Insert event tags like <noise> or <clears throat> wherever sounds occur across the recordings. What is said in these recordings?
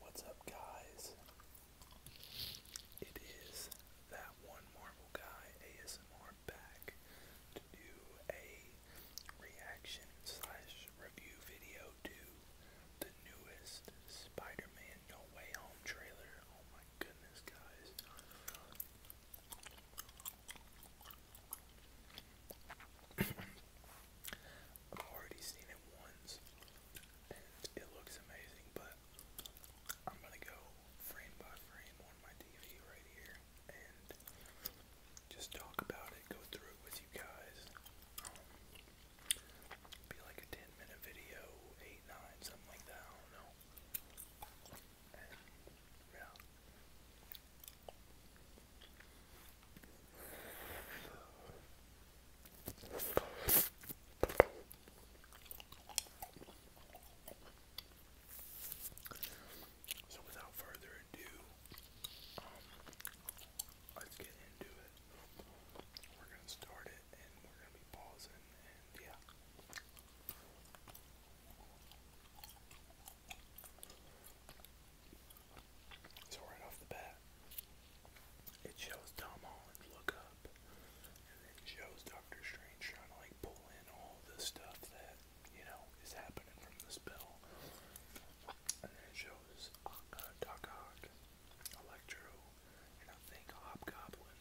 What's up, guys? It is that one Marvel guy ASMR back to do a reaction slash review video to the newest Spider-Man No Way Home trailer. Oh my goodness, guys! I've already seen it once, and it looks amazing, but I'm gonna go frame by frame on my TV right here and just talk about it, go through it with you guys. Um, be like a 10 minute video, 8, 9, something like that, I don't know. yeah. So without further ado, um, let's get into it. We're gonna start it and we're gonna be pausing and yeah. So right off the bat, it shows Tom Holland look up, and then shows Doctor Strange trying to like pull in all the stuff that you know is happening from the spell, and then it shows uh, Doc Ock, Electro, and I think Hobgoblin.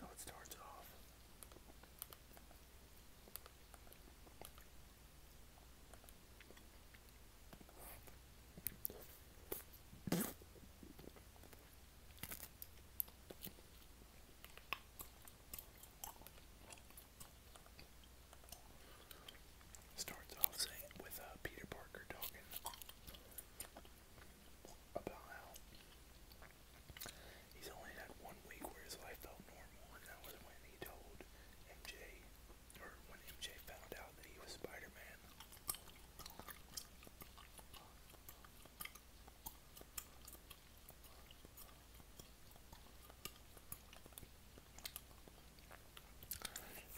So it starts off Starts off saying with uh, Peter Parker talking about how he's only had one week where his life felt normal, and that was when he told MJ, or when MJ found out that he was Spider Man.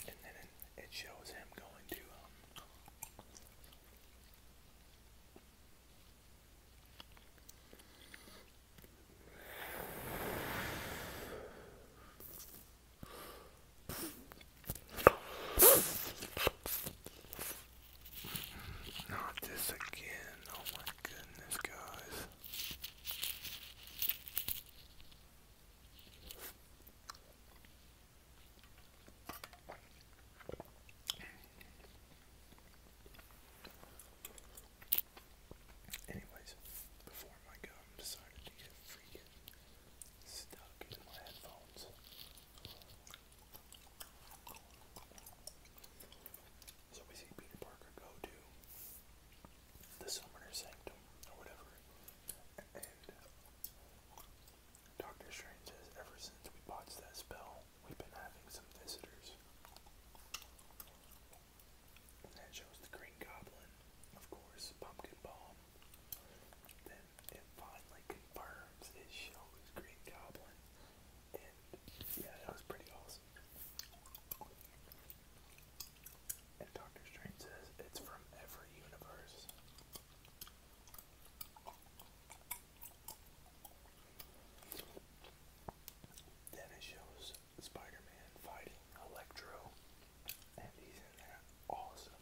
And then it shows him going to um, not this again. Oh my goodness, guys. Anyways, before my gum decided to get freaking stuck in my headphones. So we see Peter Parker go to the Summoner's Sanctum or whatever. Doctor Strange says ever since we botched that spell, we've been having some visitors. that shows the Green Goblin, of course, Pumpkin Bomb. Then it finally confirms it shows Green Goblin. And yeah, that was pretty awesome. And Doctor Strange says it's from every universe. Then it shows Spider-Man fighting Electro, and he's in that awesome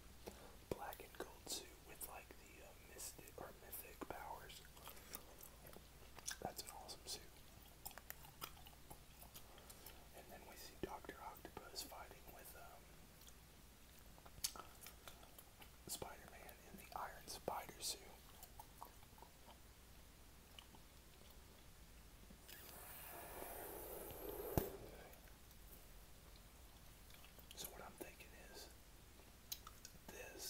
black and gold suit with like the uh, mystic or mythic powers. That's an awesome suit. And then we see Doctor Octopus fighting with um, Spider-Man in the Iron Spider suit. So what I'm thinking is this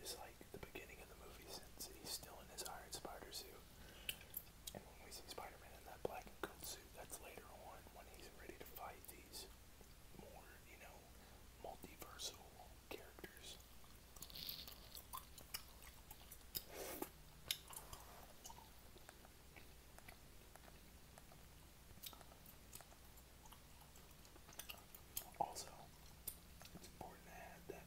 is like the beginning of the movie since he's still in his Iron Spider suit and when we see Spider-Man in that black and gold suit, that's later on when he's ready to fight these more, you know, multiversal characters. Also, it's important to add that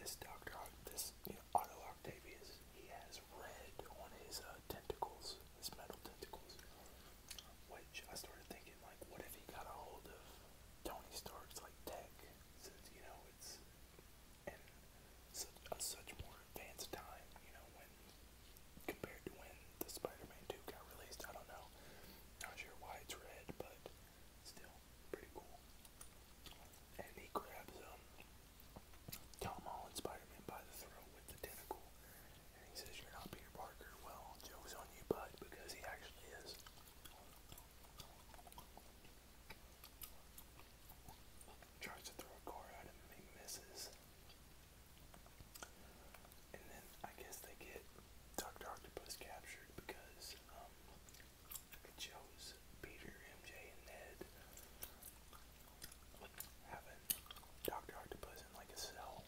this Doctor, this you know, Otto Octavius, he has red on his uh, tentacles, his metal tentacles. Which I started thinking, like, what if he got a hold of Tony Stark's like tech? Since you know it's in such a such more advanced time, you know, when compared to when the Spider-Man 2 got released. I don't know, not sure why it's red, but still pretty cool. And he grabs um Tom Holland Spider-Man by the throat with the tentacle, and he says, "You're not Peter Parker." Well, joke's on you, bud, because he actually is. Tries to throw a car at him, and he misses. And then I guess they get Doctor Octopus captured because um, it Peter, MJ, and Ned having Dr. Octopus in like a cell.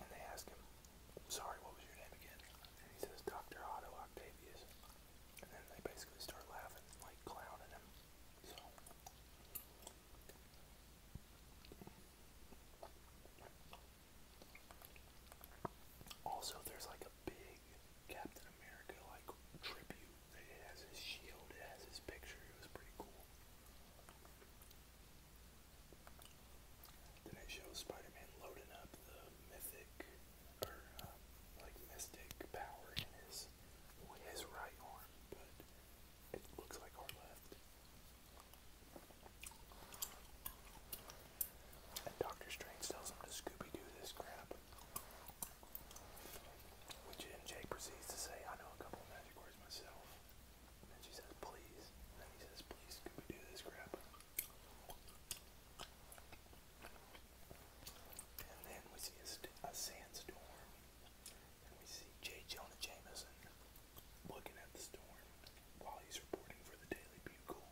And they ask him, sorry, what was your name again? And he says, Dr. Otto Octavius. And then they basically start laughing, like clowning him. Also, there's like a big Captain America like tribute. It has his shield, it has his picture. It was pretty cool. Then it shows Spider-Man loading up the mythic uh, like mystic power in his his right arm but it looks like our left. And Doctor Strange tells him to Scooby Doo this crap. Which MJ proceeds to say, I know a couple magic words myself. And she says, please. And then he says, please Scooby Doo this crap. And then we see a sandstorm and we see Jay Jonah Jameson looking at the storm while he's reporting for the Daily Bugle.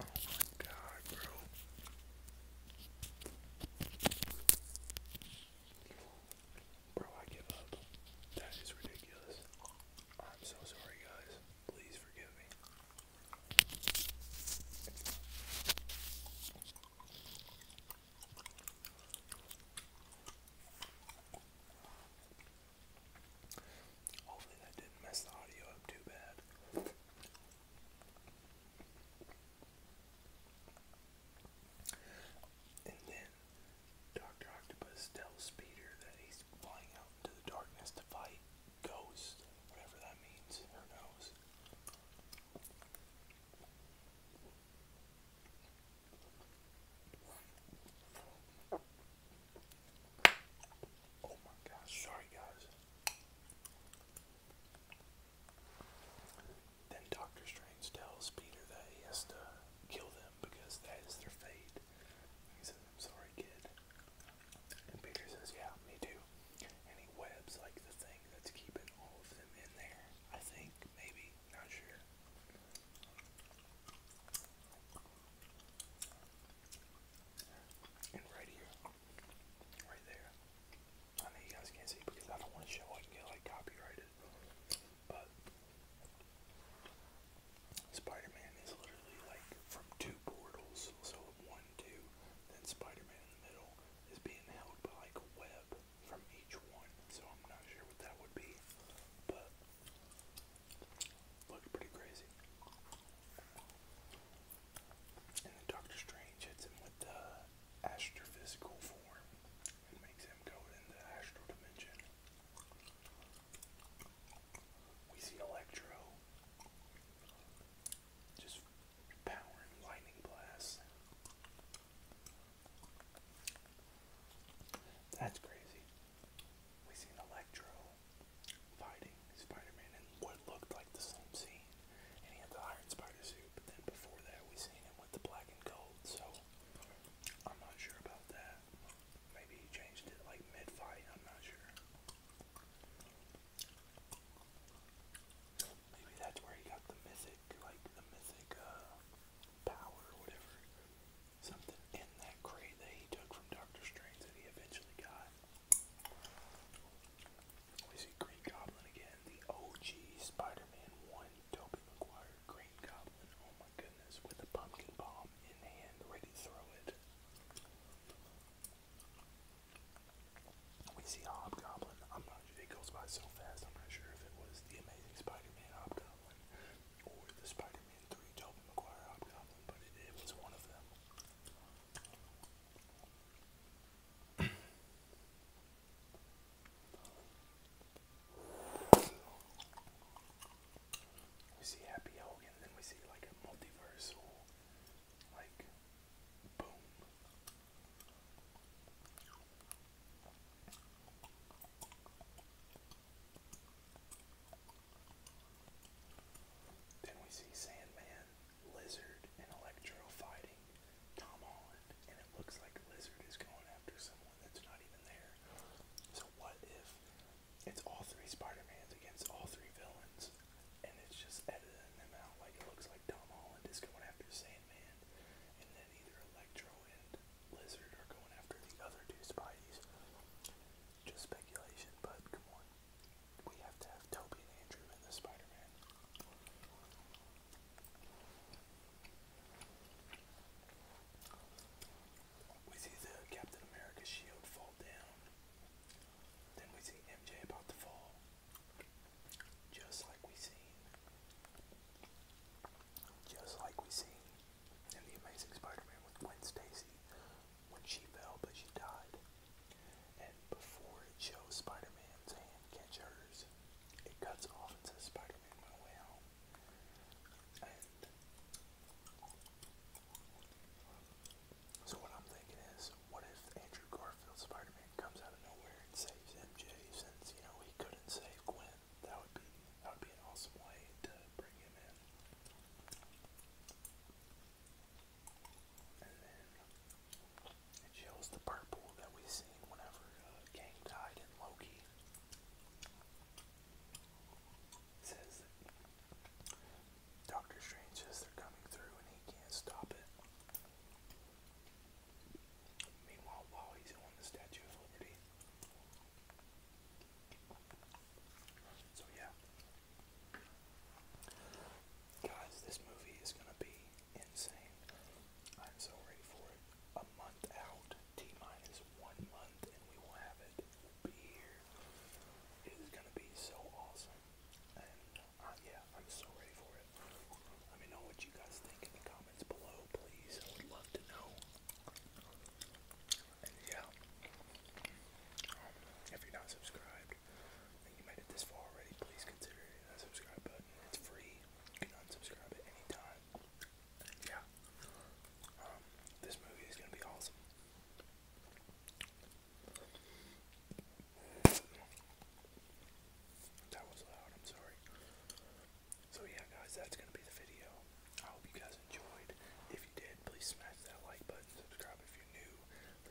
Oh my god, bro. Bro, I give up. That is ridiculous. I'm so sorry, guys. Please forgive me. Hopefully, that didn't mess the audio up too bad. And then Dr. Octopus tells Peter that he's flying out into the darkness to fight ghosts, whatever that means, who knows. Oh my gosh, sorry guys. Then Doctor Strange tells Peter that he has to kill them because that is their fate. He says, I'm sorry, kid. And Peter says, Yeah, me too. And he webs like the thing that's keeping all of them in there. I think, maybe, not sure. And right here, right there, I know you guys can't see because I don't want to show I can get like copyrighted. But Spider-Man is literally like from two portals, so one, two, then Spider-Man in the middle is being held by like a web from each one. So I'm not sure what that would be, but looked pretty crazy. And then Doctor Strange hits him with the uh, astrophysical form. It makes him go in astral dimension. We see Electro just powering lightning blasts. That's crazy. We see Electro fighting Spider-Man in what looked like the same scene, and he had the Iron Spider suit. But then before that, we seen him the black and gold, so I'm not sure about that. Maybe he changed it like mid fight, I'm not sure. Maybe that's where he got the mythic, like the mythic uh, power or whatever. Something in that crate that he took from Doctor Strange that he eventually got. We see Green Goblin again, the OG Spider-Man 1, Tobey Maguire, Green Goblin, oh my goodness, with a pumpkin bomb in hand, ready to throw it. We see Hobgoblin, I'm not sure, it goes by so fast, I'm not sure if it was the Amazing Spider-Man Hobgoblin or the Spider-Man 3 Tobey Maguire Hobgoblin, but it, was one of them. <clears throat> We see Happy Hogan, then we see like a multiversal, like, boom. Then we see Sandman, Lizard, and Electro fighting. Tom Holland, and it looks like Lizard is going after someone that's not even there. So what if it's all three Spider-Mans against all three villains, and it's just editing them out? Like it looks like Tom Holland is going after Sandman, and then either Electro and Lizard are going after the other two Spideys. Just speculation, but come on. We have to have Toby and Andrew in the Spider-Man. We see the Captain America shield fall down. Then we see MJ about to fall. Just like we seen. Just like we seen in the Amazing Spider-Man with Gwen Stacy when she fell but she died. And before it shows Spider-Man's hand catch hers, it cuts off and says Spider Man My Way so, what I'm thinking is, what if Andrew Garfield Spider Man comes out of nowhere and saves MJ since, you know, he couldn't save Gwen? That would be, that would be an awesome way to bring him in. It shows the purple that we have seen whenever uh, Kang died in Loki. says that Doctor Strange says they're coming through and he can't stop it. Meanwhile, he's on the Statue of Liberty. So yeah. Guys, this movie is gonna be insane. I'm so ready for it. A month out, T minus one month, and we will have it. will be here. It is gonna be so awesome. And uh, yeah, I'm so ready for it. Let me know what you guys think in the comments below, please. I would love to know. And yeah, um, if you're not subscribed and you made it this far already, please consider hitting subscribe button. It's free. You can unsubscribe at any time. Yeah. Um, this movie is gonna be awesome. That was loud, I'm sorry. So yeah guys, that's gonna be the video. I hope you guys enjoyed. If you did, please smash that like button, subscribe if you're new,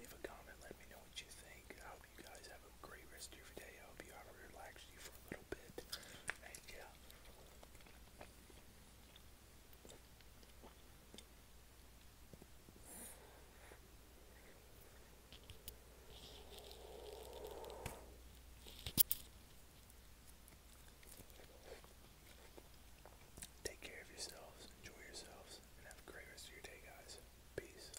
leave a comment, let me know what you think. I hope you guys have a great rest of your day. I hope you have relaxed you for a little bit. And yeah. Take care of yourselves, enjoy yourselves, and have a great rest of your day, guys. Peace.